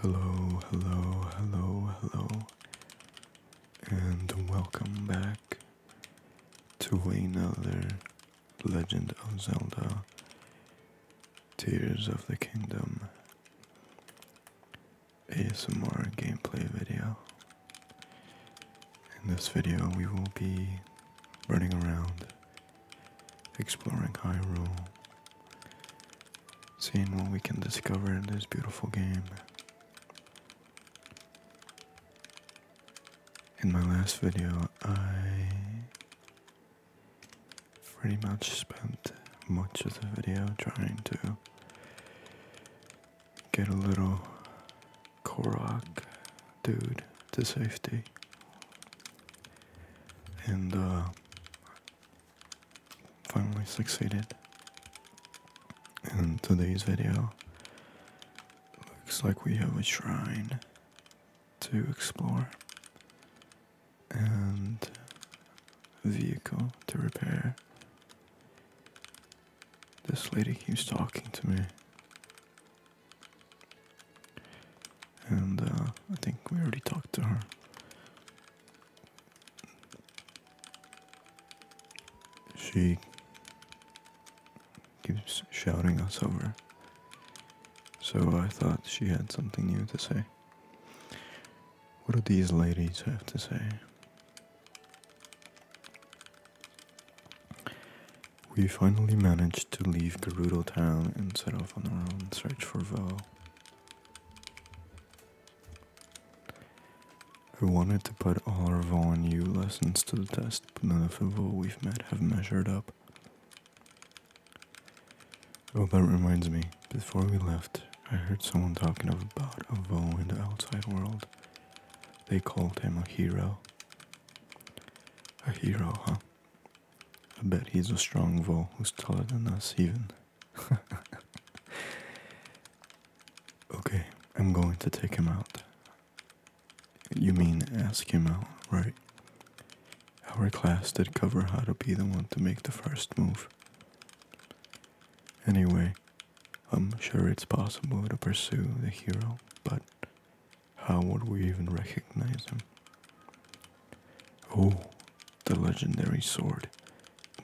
Hello, hello, hello, hello, and welcome back to another Legend of Zelda Tears of the Kingdom ASMR gameplay video. In this video, we will be running around, exploring Hyrule, seeing what we can discover in this beautiful game. In my last video, I pretty much spent much of the video trying to get a little Korok dude to safety. And uh, finally succeeded. In today's video, looks like we have a shrine to explore and a vehicle to repair. This lady keeps talking to me. And uh, I think we already talked to her. She keeps shouting us over, so I thought she had something new to say. What do these ladies have to say? We finally managed to leave Gerudo Town and set off on our own search for Vo. I wanted to put our Vol and U lessons to the test, but none of the Vol we've met have measured up. Oh, that reminds me. Before we left, I heard someone talking about a Vol in the outside world. They called him a hero. A hero, huh? I bet he's a strong Vol who's taller than us, even. okay, I'm going to take him out. You mean ask him out, right? Our class did cover how to be the one to make the first move. Anyway, I'm sure it's possible to pursue the hero, but how would we even recognize him? Oh, the legendary sword.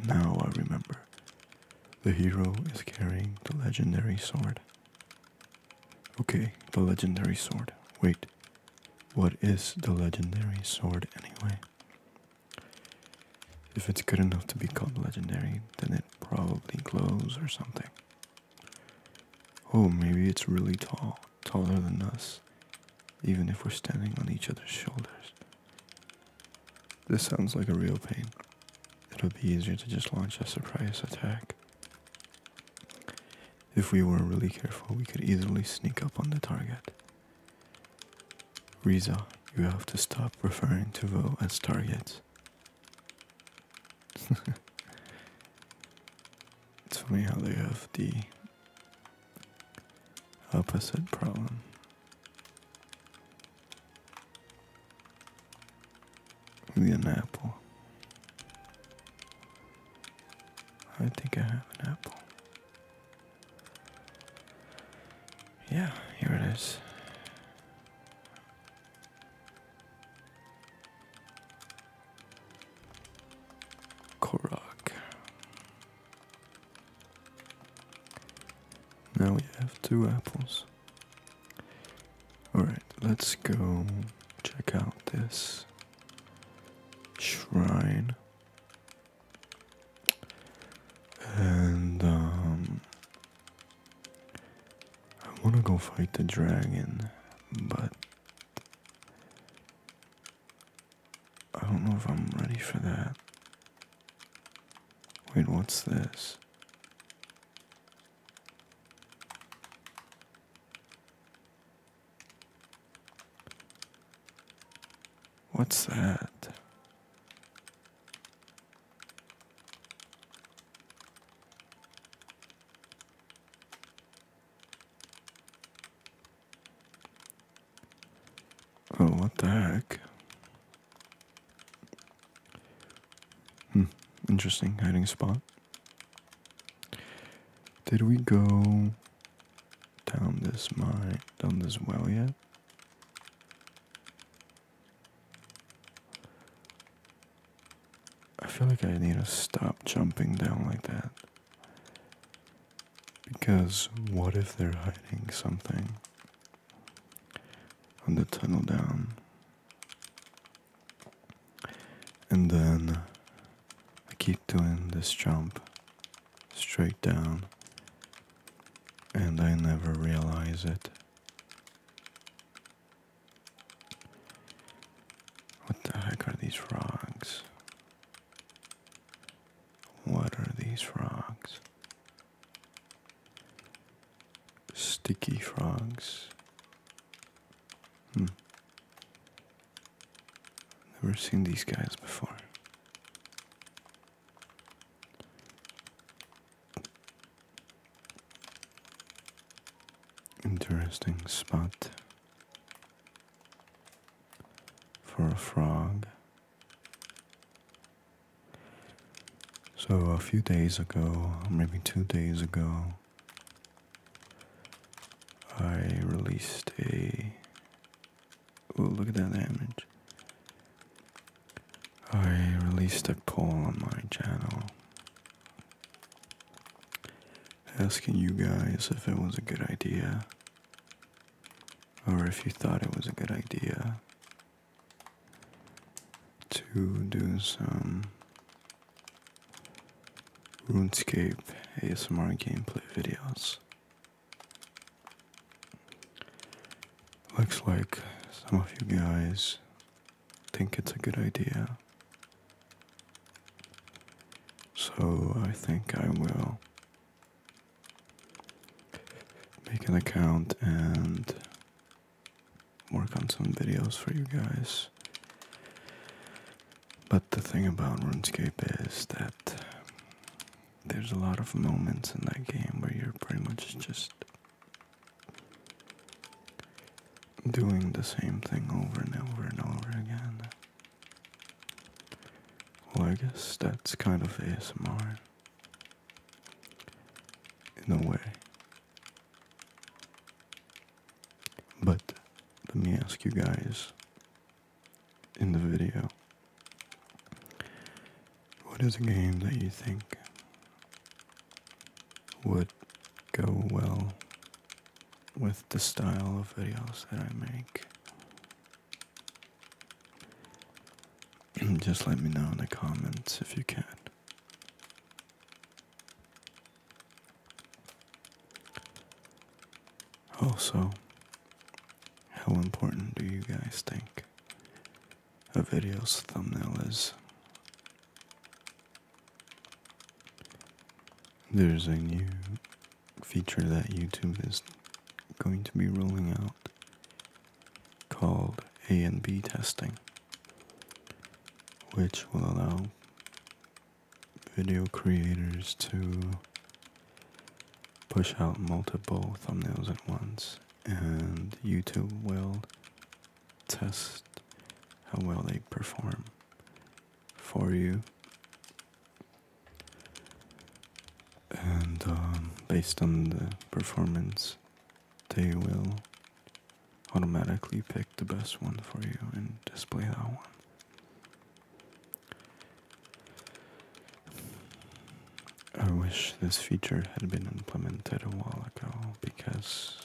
Now I remember. The hero is carrying the legendary sword. Okay, the legendary sword. Wait, what is the legendary sword anyway? If it's good enough to be called legendary, then it probably glows or something. Oh, maybe it's really tall taller than us, even if we're standing on each other's shoulders. This sounds like a real pain. It'll be easier to just launch a surprise attack. If we were really careful, we could easily sneak up on the target. Riza, you have to stop referring to Vo as targets. it's funny how they have the Opposite problem. an apple. I think I have an apple. Yeah, here it is. Korok. Now we have two apples. Alright, let's go check out this shrine. And, um, I want to go fight the dragon, but I don't know if I'm ready for that. Wait, what's this? What's that? Oh, what the heck? Hmm, interesting hiding spot. Did we go down this mine, down this well yet? I feel like I need to stop jumping down like that. Because what if they're hiding something on the tunnel down? And then I keep doing this jump straight down, and I never realize it. What the heck are these rocks? What are these frogs? Sticky frogs. Hmm. Never seen these guys before. Interesting spot for a frog so, a few days ago, maybe two days ago, I released a. Oh, look at that image. I released a poll on my channel asking you guys if it was a good idea or if you thought it was a good idea to do some RuneScape ASMR gameplay videos. Looks like some of you guys think it's a good idea. So I think I will make an account and work on some videos for you guys. But the thing about RuneScape is that there's a lot of moments in that game where you're pretty much just doing the same thing over and over and over again. Well, I guess that's kind of ASMR in a way. But let me ask you guys in the video what is a game that you think would go well with the style of videos that I make? Just let me know in the comments if you can. Also, how important do you guys think a video's thumbnail is? There's a new feature that YouTube is going to be rolling out called A and B testing, which will allow video creators to push out multiple thumbnails at once, and YouTube will test how well they perform for you and um, based on the performance, they will automatically pick the best one for you and display that one. I wish this feature had been implemented a while ago because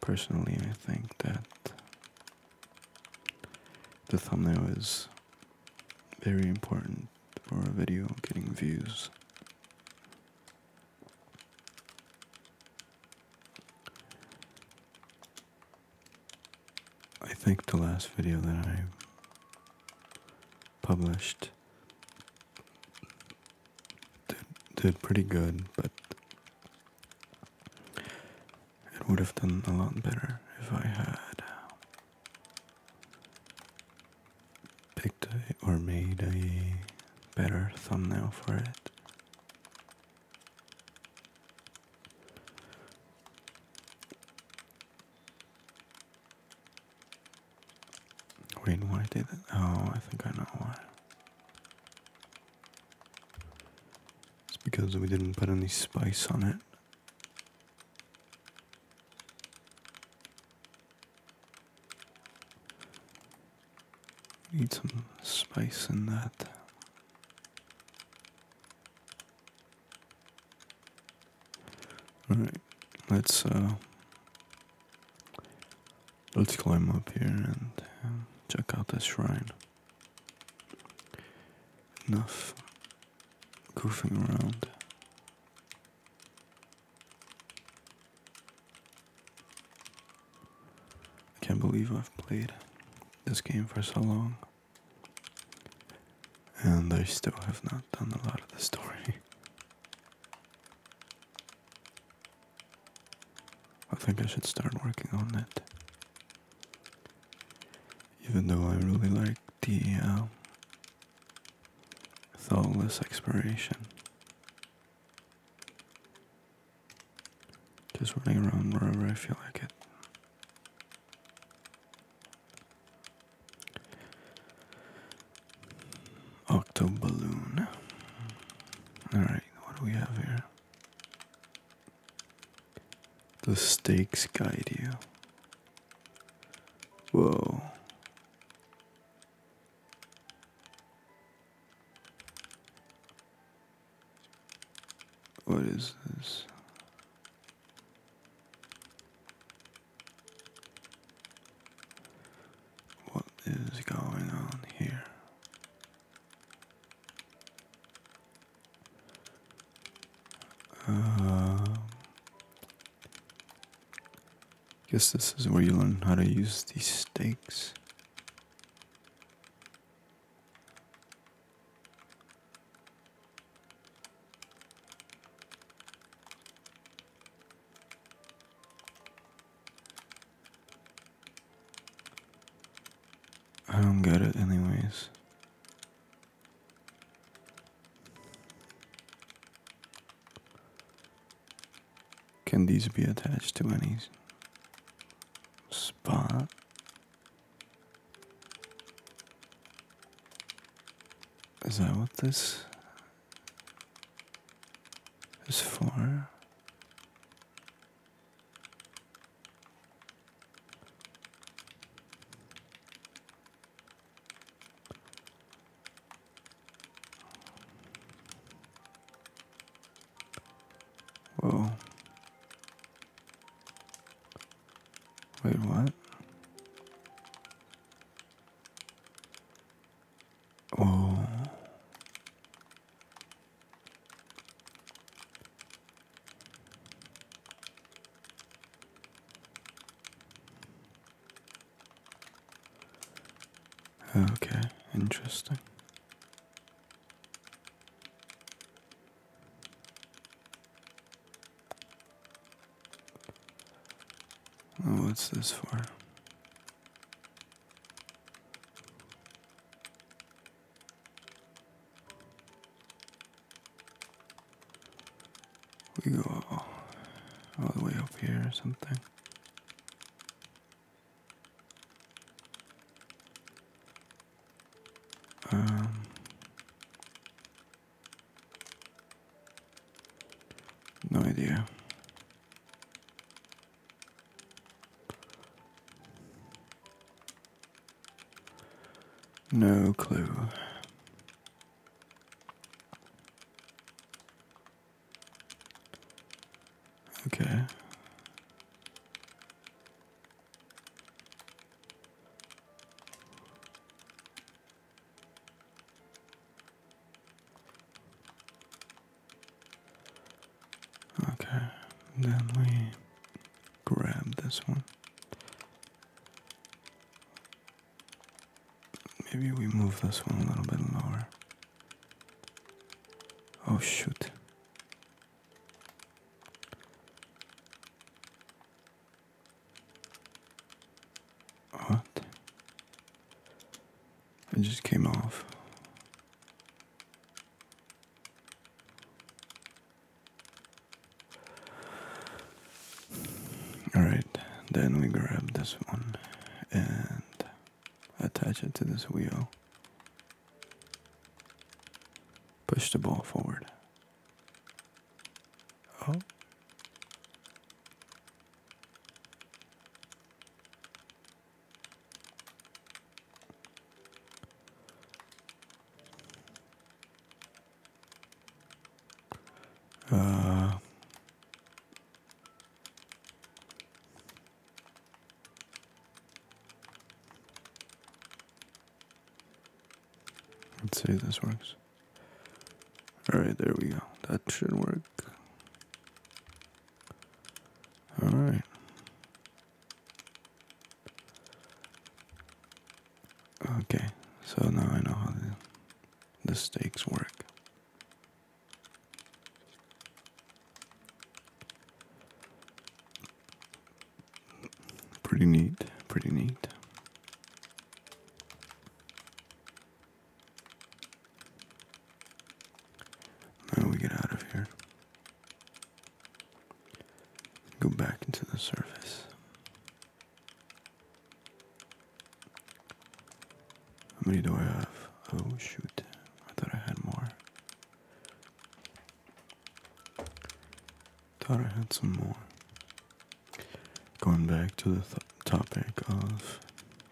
personally I think that the thumbnail is very important for a video getting views. I think the last video that I published did, did pretty good, but it would have done a lot better if I had picked or made a better thumbnail for it. Wait, why did it? Oh, I think I know why. It's because we didn't put any spice on it. Need some spice in that. Alright, let's uh let's climb up here and uh, check out this shrine. Enough goofing around. I can't believe I've played this game for so long. And I still have not done a lot of the story. I think I should start working on it. Even though I really like the um, thoughtless exploration, just running around wherever I feel like it. Octo balloon. Alright, what do we have here? The stakes guide you. Whoa. What is this? What is going on here? Uh, guess this is where you learn how to use these stakes. I don't get it anyways. Can these be attached to any spot? Is that what this is for? Whoa. Wait, what? Oh. Okay, interesting. Oh, what's this for? We go all, the way up here or something. Um, no idea. No clue. Okay. Okay, then we grab this one. Maybe we move this one a little bit lower. Oh, shoot. What? It just came off. Alright, then we grab this one and attach it to this wheel. Push the ball forward. Oh. Uh, let's see if this works. All right, there we go. That should work. All right. Okay, so now I know how the, stakes work. Pretty neat, pretty neat. Now we get out of here. Go back into the surface. How many do I have? Oh shoot, I thought I had more. Thought I had some more. Going back to the topic of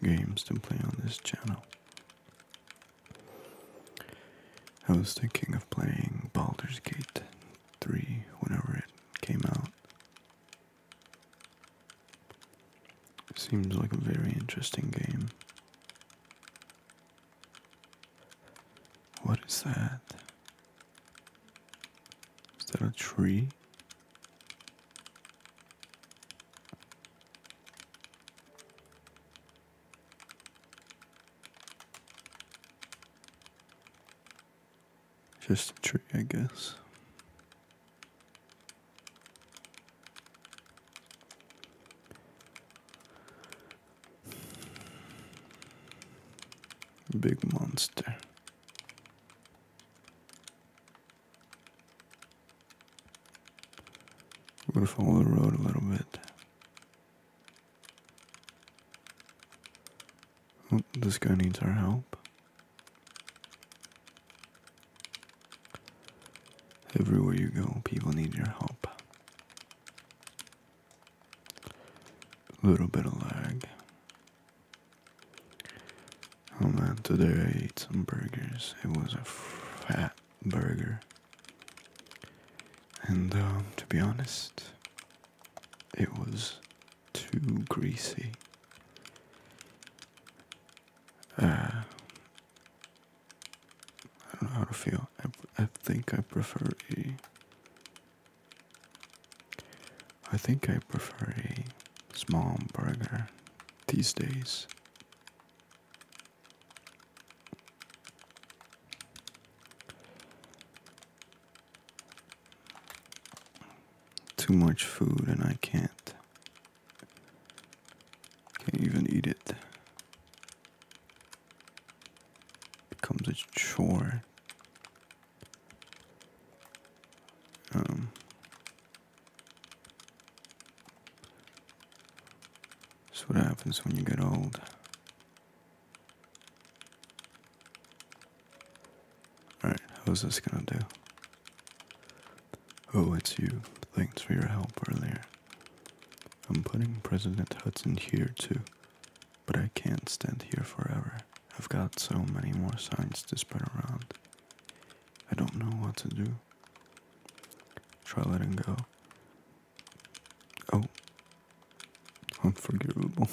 games to play on this channel. I was thinking of playing Baldur's Gate 3 whenever it came out. Seems like a very interesting game. What is that? Is that a tree? Just a tree, I guess. Big monster. we will follow the road a little bit. Oh, this guy needs our help. Everywhere you go, people need your help. A little bit of lag. Oh man, today I ate some burgers. It was a fat burger. And um, to be honest, it was too greasy. Uh, I don't know how to feel. I, I think I prefer a. I think I prefer a small burger these days too much food and I can't can't even eat it. Becomes a chore. Um That's what happens when you get old. Alright, how's this gonna do? Oh, it's you. Thanks for your help earlier. I'm putting President Hudson here too, but I can't stand here forever. I've got so many more signs to spread around. I don't know what to do. Try letting go. Oh, Unforgivable.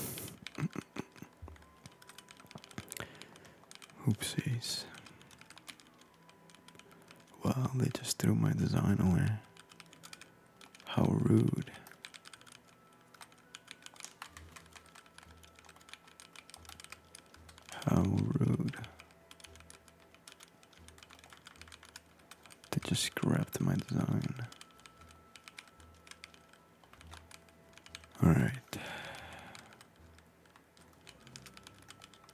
Oopsies. Wow, they just threw my design away. How rude. How rude. They just scrapped my design. Alright.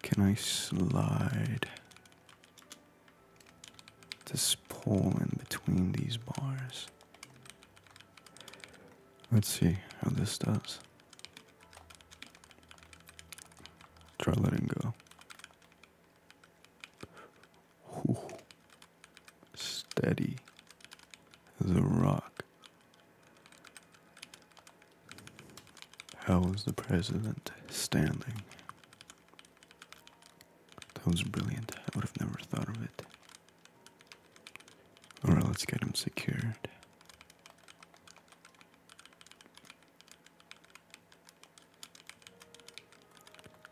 Can I slide this pole in between these bars? Let's see how this does. Try letting go. Steady as a rock. How is the president standing? That was brilliant. I would have never thought of it. Alright, let's get him secured.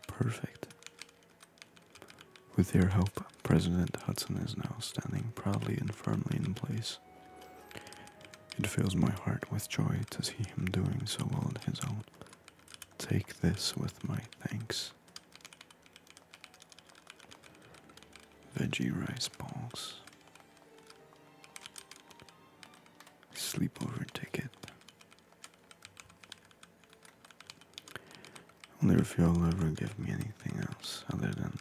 Perfect. With your help, President Hudson is now standing proudly and firmly in place. It fills my heart with joy to see him doing so well on his own. Take this with my thanks. Veggie rice balls. Sleepover ticket. I wonder if you all ever give me anything else other than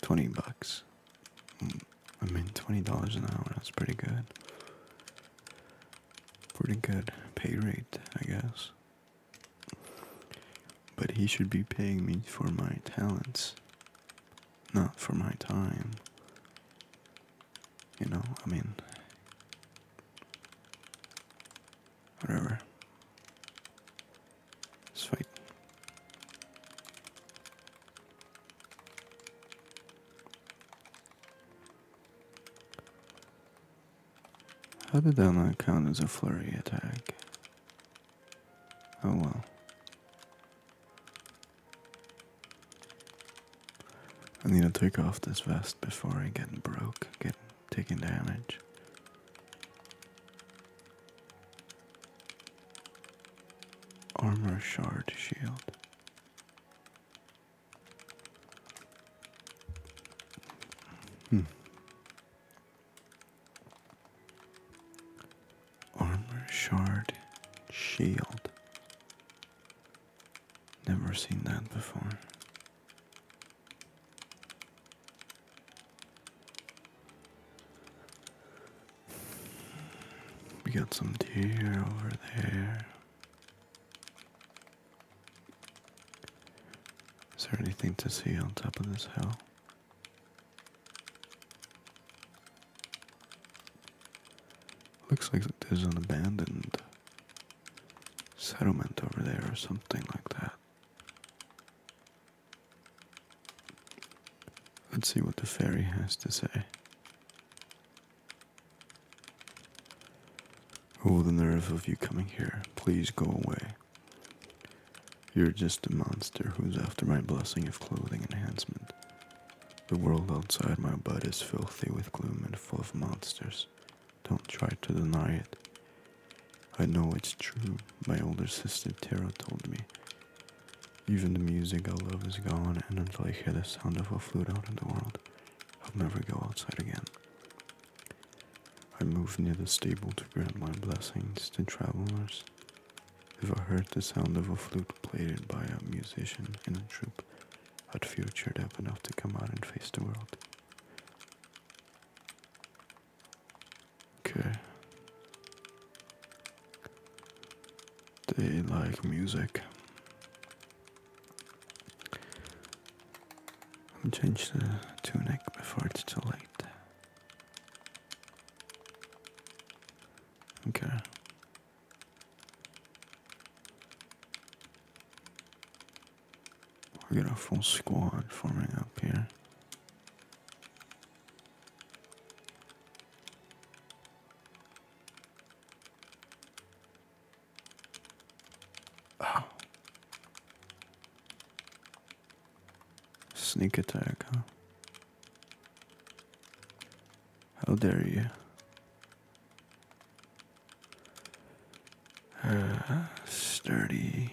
20 bucks. Mm, I mean, $20 an hour, that's pretty good. Pretty good pay rate, I guess. But he should be paying me for my talents, not for my time. You know, I mean, Whatever. Let's How did that not count as a flurry attack? Oh well. I need to take off this vest before I get broke taking damage. Armor shard shield. Hmm. Armor shard shield. Never seen that before. We got some deer over there. Is there anything to see on top of this hill? Looks like there's an abandoned settlement over there or something like that. Let's see what the fairy has to say. Oh, the nerve of you coming here. Please go away. You're just a monster who's after my blessing of clothing enhancement. The world outside my bud is filthy with gloom and full of monsters. Don't try to deny it. I know it's true, my older sister Tara told me. Even the music I love is gone, and until I hear the sound of a flute out in the world, I'll never go outside again. I move near the stable to grant my blessings to travelers. If I heard the sound of a flute played by a musician in a troop, but futured up enough to come out and face the world. Okay. They like music. I'm change the tunic before it's too late. Okay. We got a full squad forming up here. Oh. Sneak attack, How dare you? Uh, sturdy.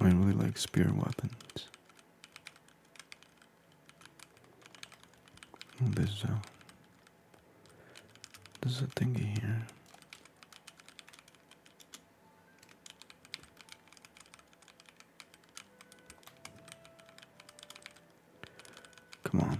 I really like spear weapons. Oh, there's a there's a thingy here. Come on.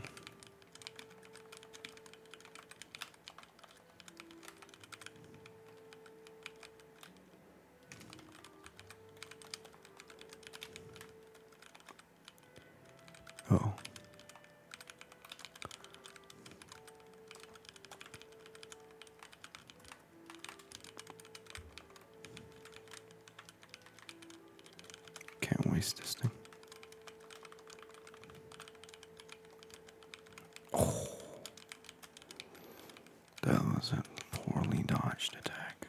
Oh. Can't waste this thing. Oh. that was a poorly dodged attack.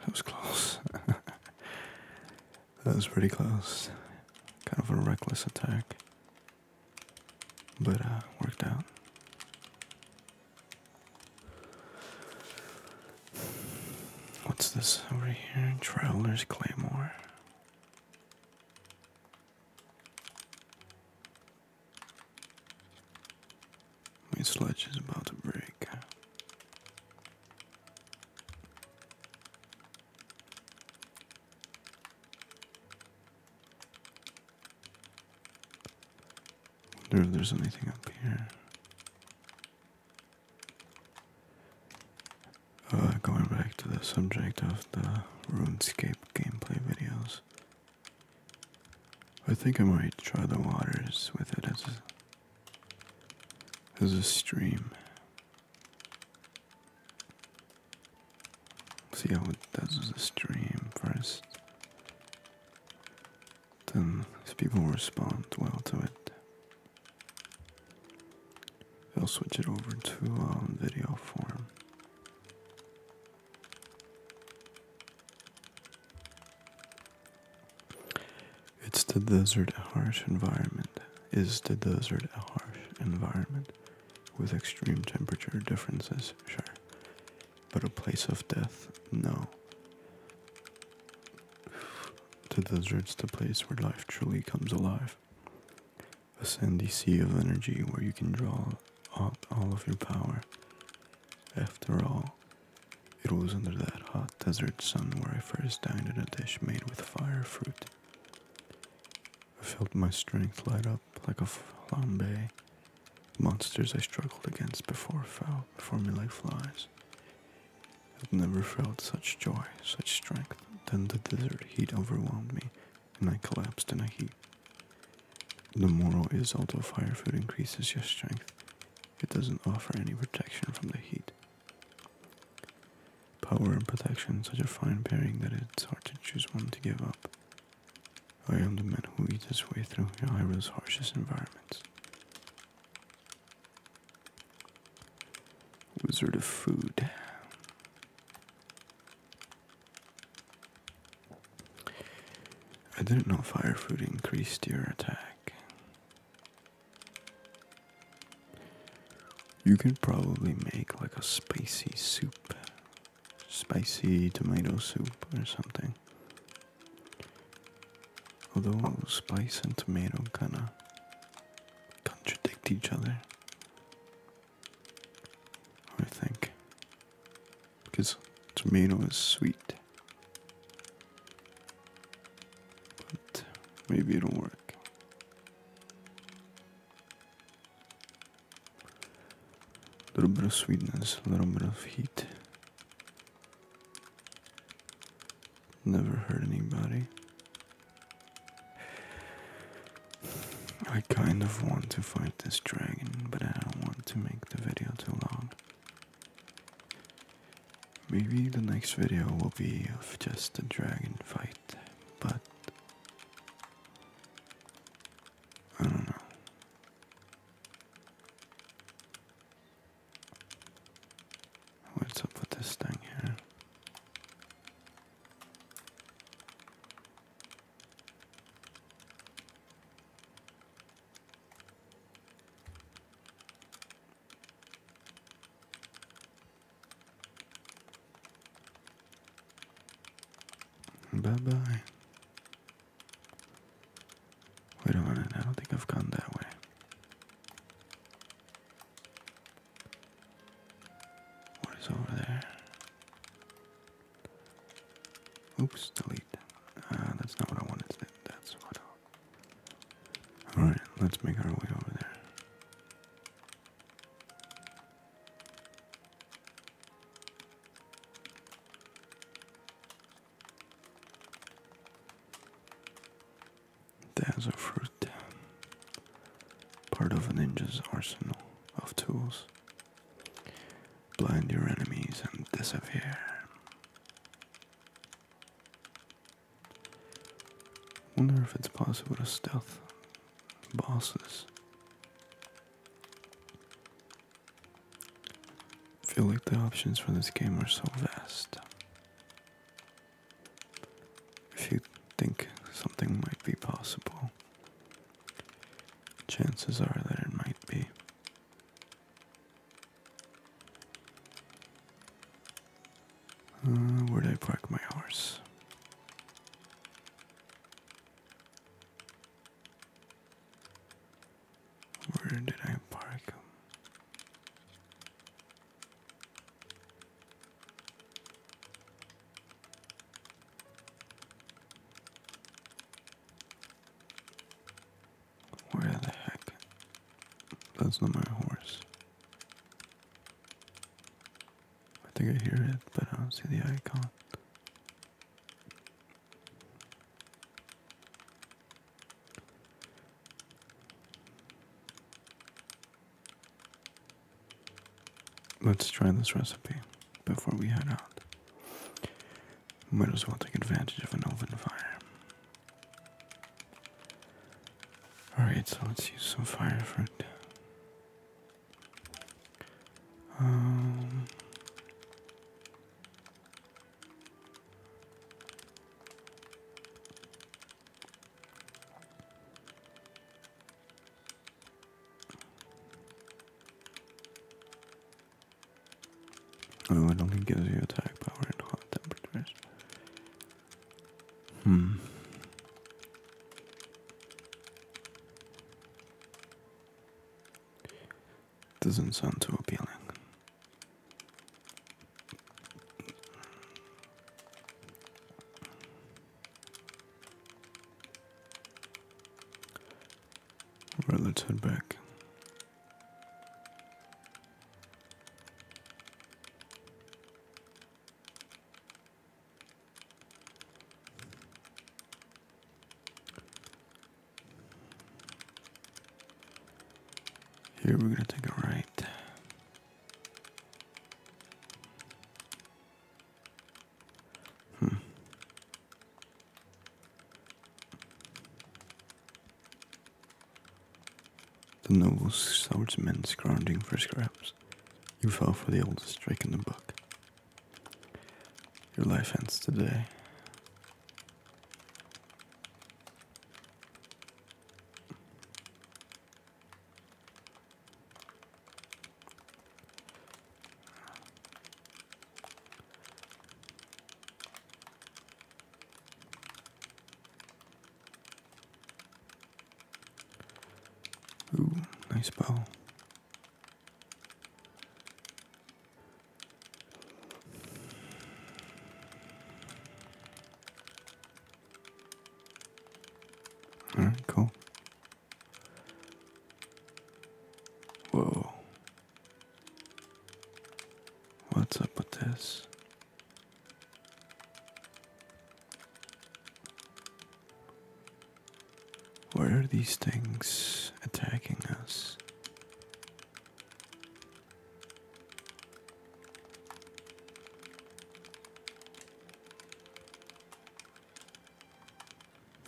That was close. that was pretty close. Kind of a reckless attack. But uh, worked out. What's this over here? Traveler's Claymore. My sludge is about to break. Wonder if there's anything up here. Uh, going back to the subject of the RuneScape gameplay videos. I think I might try the waters with it as a, as a stream. See how it does as a stream first. Then, if people respond well to it, I'll switch it over to uh, video form. It's the desert a harsh environment? Is the desert a harsh environment with extreme temperature differences? Sure. But a place of death? No. The desert's the place where life truly comes alive a sandy sea of energy where you can draw out all of your power. After all, it was under that hot desert sun where I first dined on a dish made with fire fruit. I felt my strength light up like a flambe. Monsters I struggled against before fell before me like flies. I'd never felt such joy, such strength. Then the desert heat overwhelmed me, and I collapsed in a heap. The moral is although fire food increases your strength, it doesn't offer any protection from the heat. Power and protection such a fine pairing that it's hard to choose one to give up. I am the man who eats his way through the harshest environments. Wizard of Food. I didn't know fire fruit increased your attack. You could probably make like a spicy soup, spicy tomato soup or something. Although spice and tomato kinda contradict each other. I think. Because tomato is sweet. But maybe it'll work. A little bit of sweetness, a little bit of heat. Never hurt anybody. I kind of want to fight this dragon, but I don't want to make the video too long. Maybe the next video will be of just a dragon fight, but I don't know. What's up with this thing here? Bye bye. Wait a minute, I don't think I've gone that way. What is over there? Oops, delete. Uh, that's not what I wanted. to That's what I... Alright, let's make our way over there. There's a fruit. Part of a ninja's arsenal of tools. Blind your enemies and disappear. Wonder if it's possible to stealth bosses. Feel like the options for this game are so vast. If you think something might be possible, Chances are that it might be. Uh, where did I park my horse? Where did I park him? Where the heck? That's not my horse. I think I hear it, but I don't see the icon. Let's try this recipe before we head out. Might as well take advantage of an oven fire. Alright, so let's use some fire fruit. Um, Oh, it only gives you attack power at hot temperatures. Hmm. Doesn't sound too appealing. Alright, let's head back. Here we're gonna take a right. Hmm. The noble swordsman scrounging for scraps. You fell for the oldest trick in the book. Your life ends today. Ooh, nice bow. All right, cool. Whoa. What's up with this? Where are these things attacking us?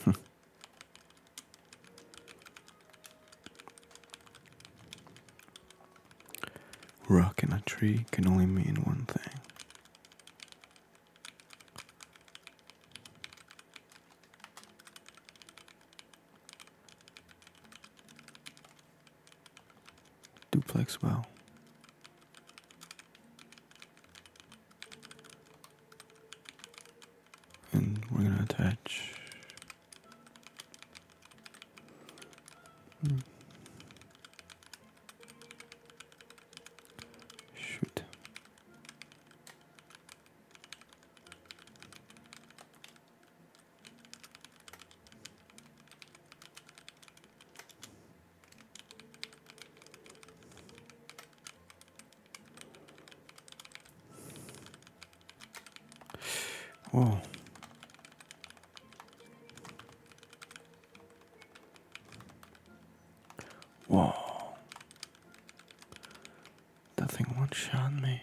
Hmm. Rock in a tree can only mean one thing. Duplex well and we're going to attach shoot Whoa. Whoa. That thing one shot me.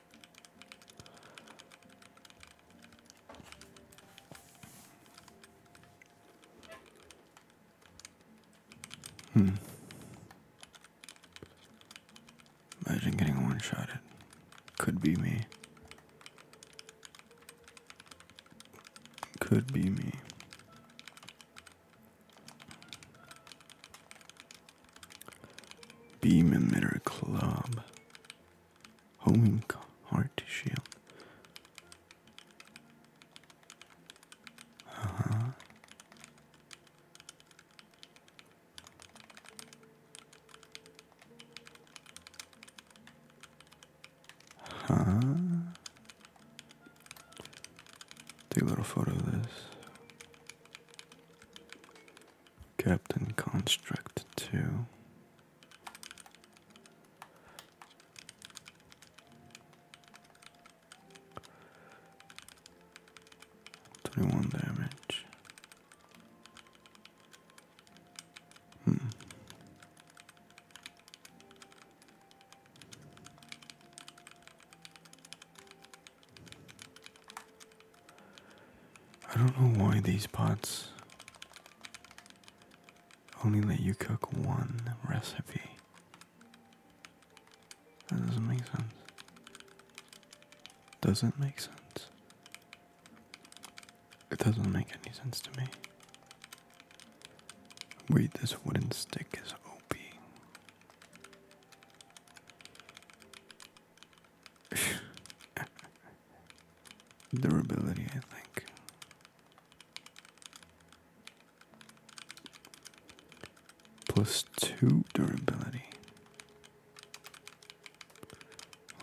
Hmm. Imagine getting one shot at could be me. Could be me. Beam Emitter Club. Homing Heart Shield. Uh -huh. Huh? Take a little photo of this. Captain Construct 2. Twenty one damage. Hmm. I don't know why these pots only let you cook one recipe. That doesn't make sense. Doesn't make sense. It doesn't make any sense to me. Wait, this wooden stick is OP. Durability, I think. Plus two durability.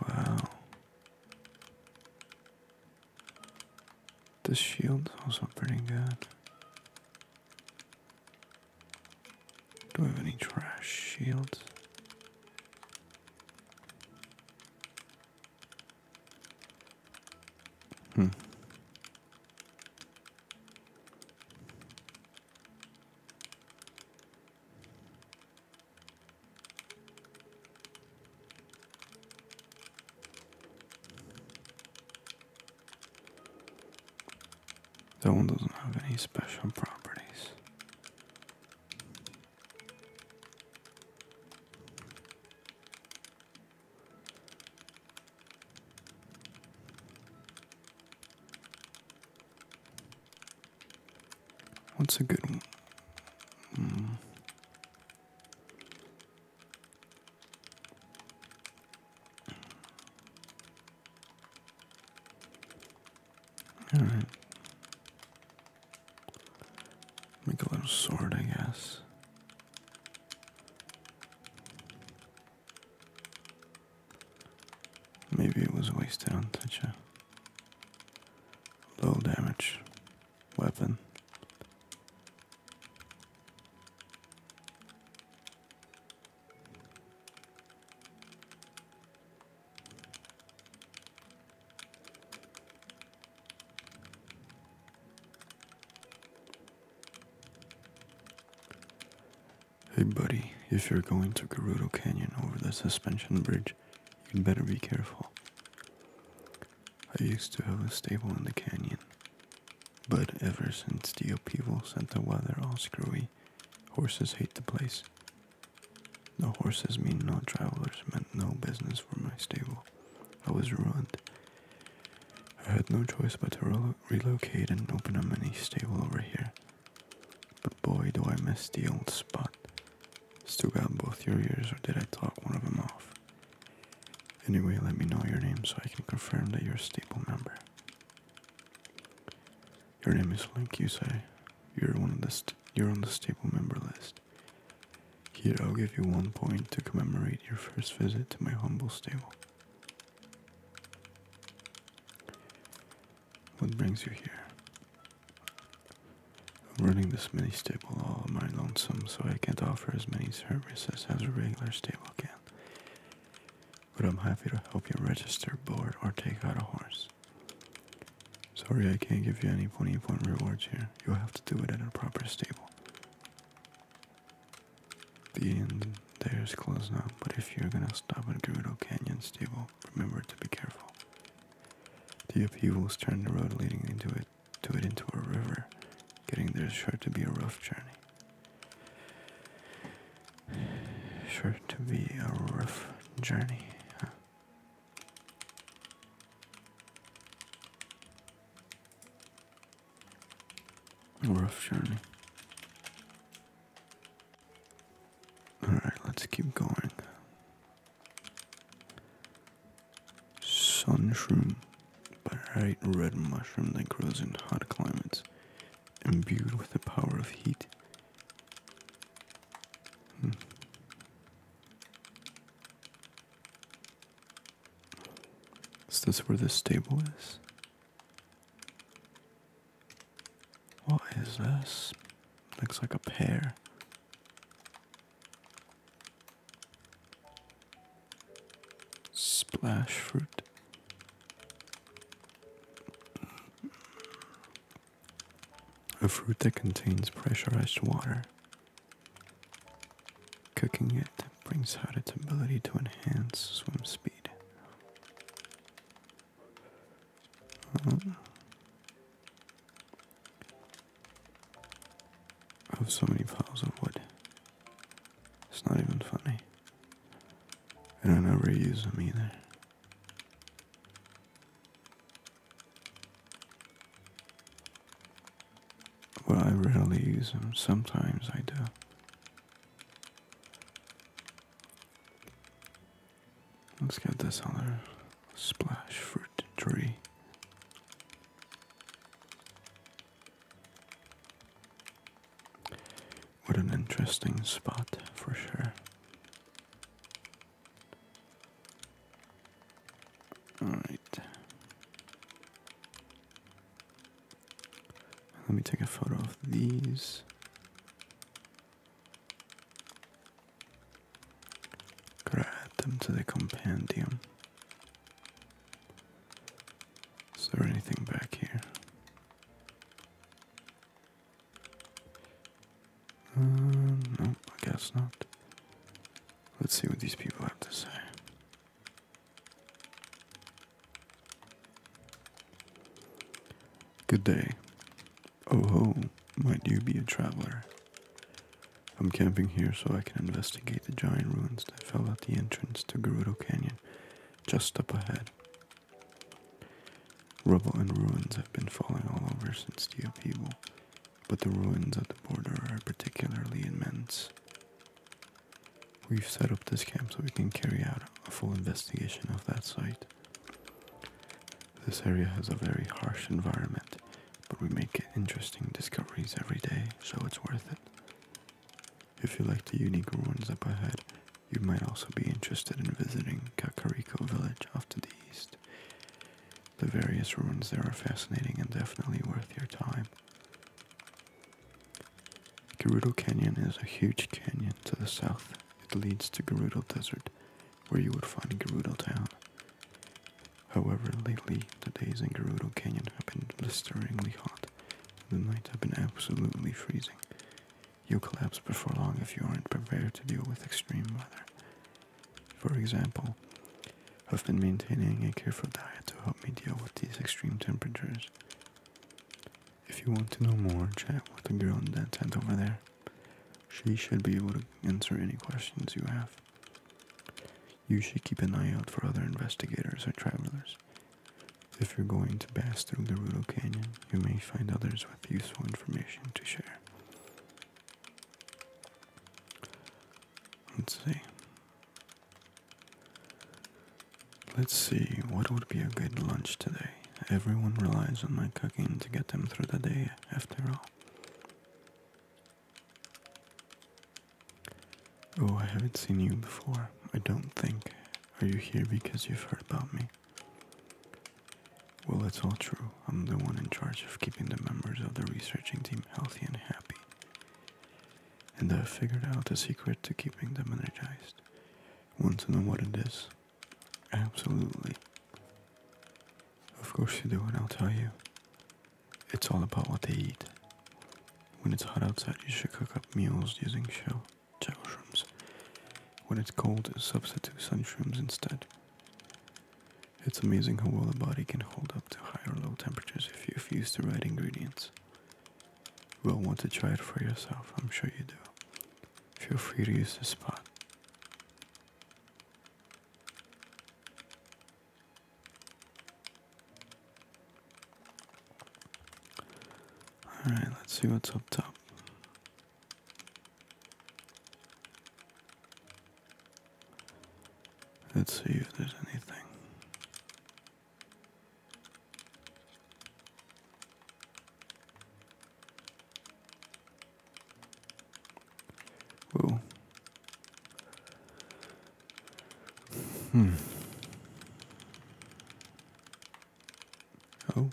Wow. The shield's also pretty good. Do we have any trash shields? Hmm. That one doesn't have any special properties. What's a good one? All right. Make a little sword, I guess. Maybe it was wasted on such a low damage weapon. Hey buddy, if you're going to Gerudo Canyon over the suspension bridge, you'd better be careful. I used to have a stable in the canyon, but ever since the upheaval sent the weather all screwy, Horses hate the place. The horses mean no travelers, meant no business for my stable. I was ruined. I had no choice but to relocate and open a mini stable over here. But boy, do I miss the old spot. Still got both your ears, or did I talk one of them off? Anyway, let me know your name so I can confirm that you're a stable member. Your name is Link, you say? You're one of the you're on the stable member list. Here, I'll give you one point to commemorate your first visit to my humble stable. What brings you here? I'm running this mini stable all by lonesome, so I can't offer as many services as a regular stable can but I'm happy to help you register, board, or take out a horse. Sorry, I can't give you any pony point rewards here. You'll have to do it at a proper stable. The end. there is closed now, but if you're gonna stop at Gerudo Canyon stable, remember to be careful. The upheavals turned the road leading into it to it into a river. Getting there is sure to be a rough journey. Sure to be a rough journey. A rough journey. Alright, let's keep going. Sunshroom, bright red mushroom that grows in hot climates, imbued with the power of heat Hmm. Is this where the stable is? What is this? Looks like a pear. Splash fruit. A fruit that contains pressurized water. Cooking it brings out its ability to enhance swim speed. I oh. have so many piles of wood. It's not even funny. And I never use them either. Well, I rarely use them. Sometimes I do. Let's get this other splash fruit tree. What an interesting spot for sure. All right. Let me take a photo of these. got add them to the compendium. Is there anything back here? Uh, no, I guess not. Let's see what these people have to say. Good day. Oh ho, might you be a traveler? I'm camping here so I can investigate the giant ruins that fell at the entrance to Gerudo Canyon just up ahead. Rubble and ruins have been falling all over since the upheaval, but the ruins at the border are particularly immense. We've set up this camp so we can carry out a full investigation of that site. This area has a very harsh environment, but we make interesting discoveries every day, so it's worth it. If you like the unique ruins up ahead, you might also be interested in visiting Kakariko village off to the east. The various ruins there are fascinating and definitely worth your time. Garudo Canyon is a huge canyon to the south. It leads to Garudo Desert, where you would find Garudo Town. However, lately the days in Garudo Canyon have been blisteringly hot, and the nights have been absolutely freezing. You'll collapse before long if you aren't prepared to deal with extreme weather. For example, I've been maintaining a careful diet to help me deal with these extreme temperatures. If you want to know more, chat with the girl in that tent over there. She should be able to answer any questions you have. You should keep an eye out for other investigators or travelers. If you're going to pass through the Gerudo Canyon, you may find others with useful information to share. Let's see. Let's see, what would be a good lunch today? Everyone relies on my cooking to get them through the day, after all. Oh, I haven't seen you before. I don't think. Are you here because you've heard about me? Well, it's all true. I'm the one in charge of keeping the members of the researching team healthy and happy. And I've figured out the secret to keeping them energized. Want to know what it is? Absolutely. Of course you do, and I'll tell you. It's all about what they eat. When it's hot outside, you should cook up meals using shell, shell shrooms. When it's cold, substitute sun instead. It's amazing how well a body can hold up to high or low temperatures if you've used the right ingredients. You will want to try it for yourself, I'm sure you do. Feel free to use this spot. Alright, let's see what's up top. Let's see if there's anything. Whoa. Hmm. Oh.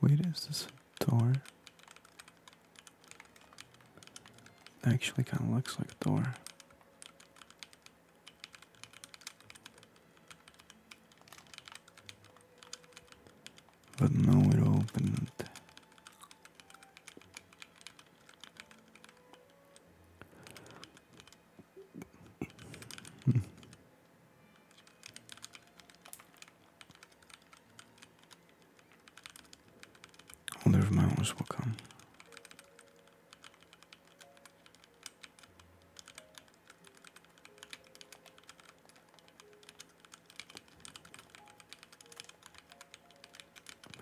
Wait, is this a door? Actually, kind of looks like a door. But no, it opened. Holder of will come.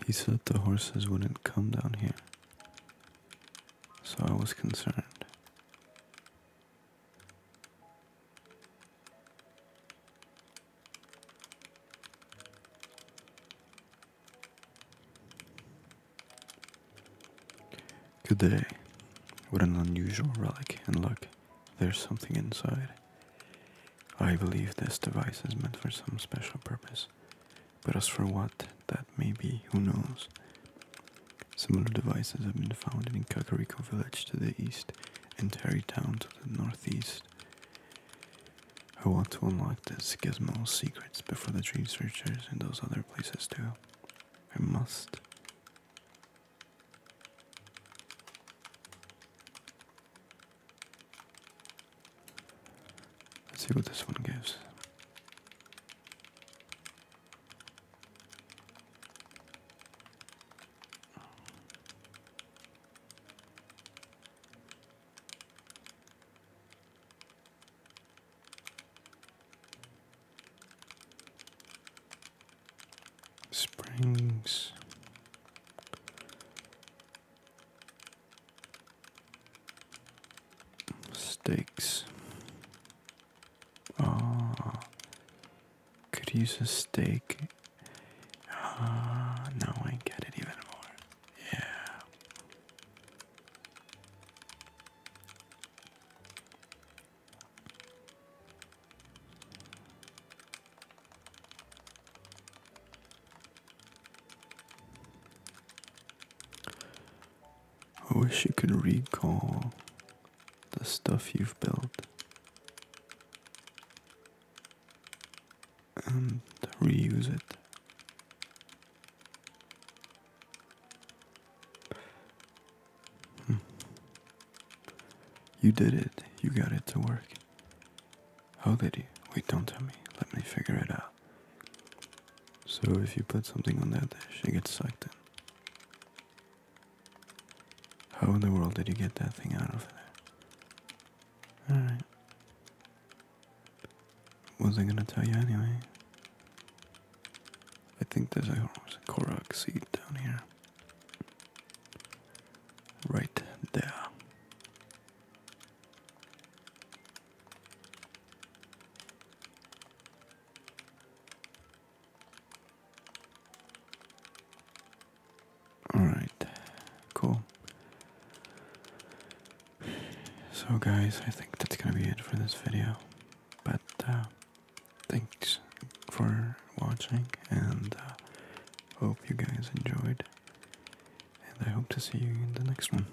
He said the horses wouldn't come down here so I was concerned. Good day. What an unusual relic, and look, there's something inside. I believe this device is meant for some special purpose. But as for what, that may be, who knows. Similar devices have been found in Kakariko village to the east and Terrytown to the northeast. I want to unlock this gizmo's secrets before the dream searchers and those other places do. I must. Let's see what this one gives. Springs Steaks. Ah, could use a steak. Ah, now I get it even more. Yeah. I wish you could recall the stuff you've built and reuse it. Hmm. You did it. You got it to work. How oh, did you? Wait, don't tell me. Let me figure it out. So if you put something on that dish, it gets sucked in. How in the world did you get that thing out of there? Alright. Wasn't gonna tell you anyway. I think there's a Korok seed down here. Right there. All right, cool. So, guys, I think that's gonna be it for this video. But uh, thanks for watching, and uh, hope you guys enjoyed. And I hope to see you in the next one.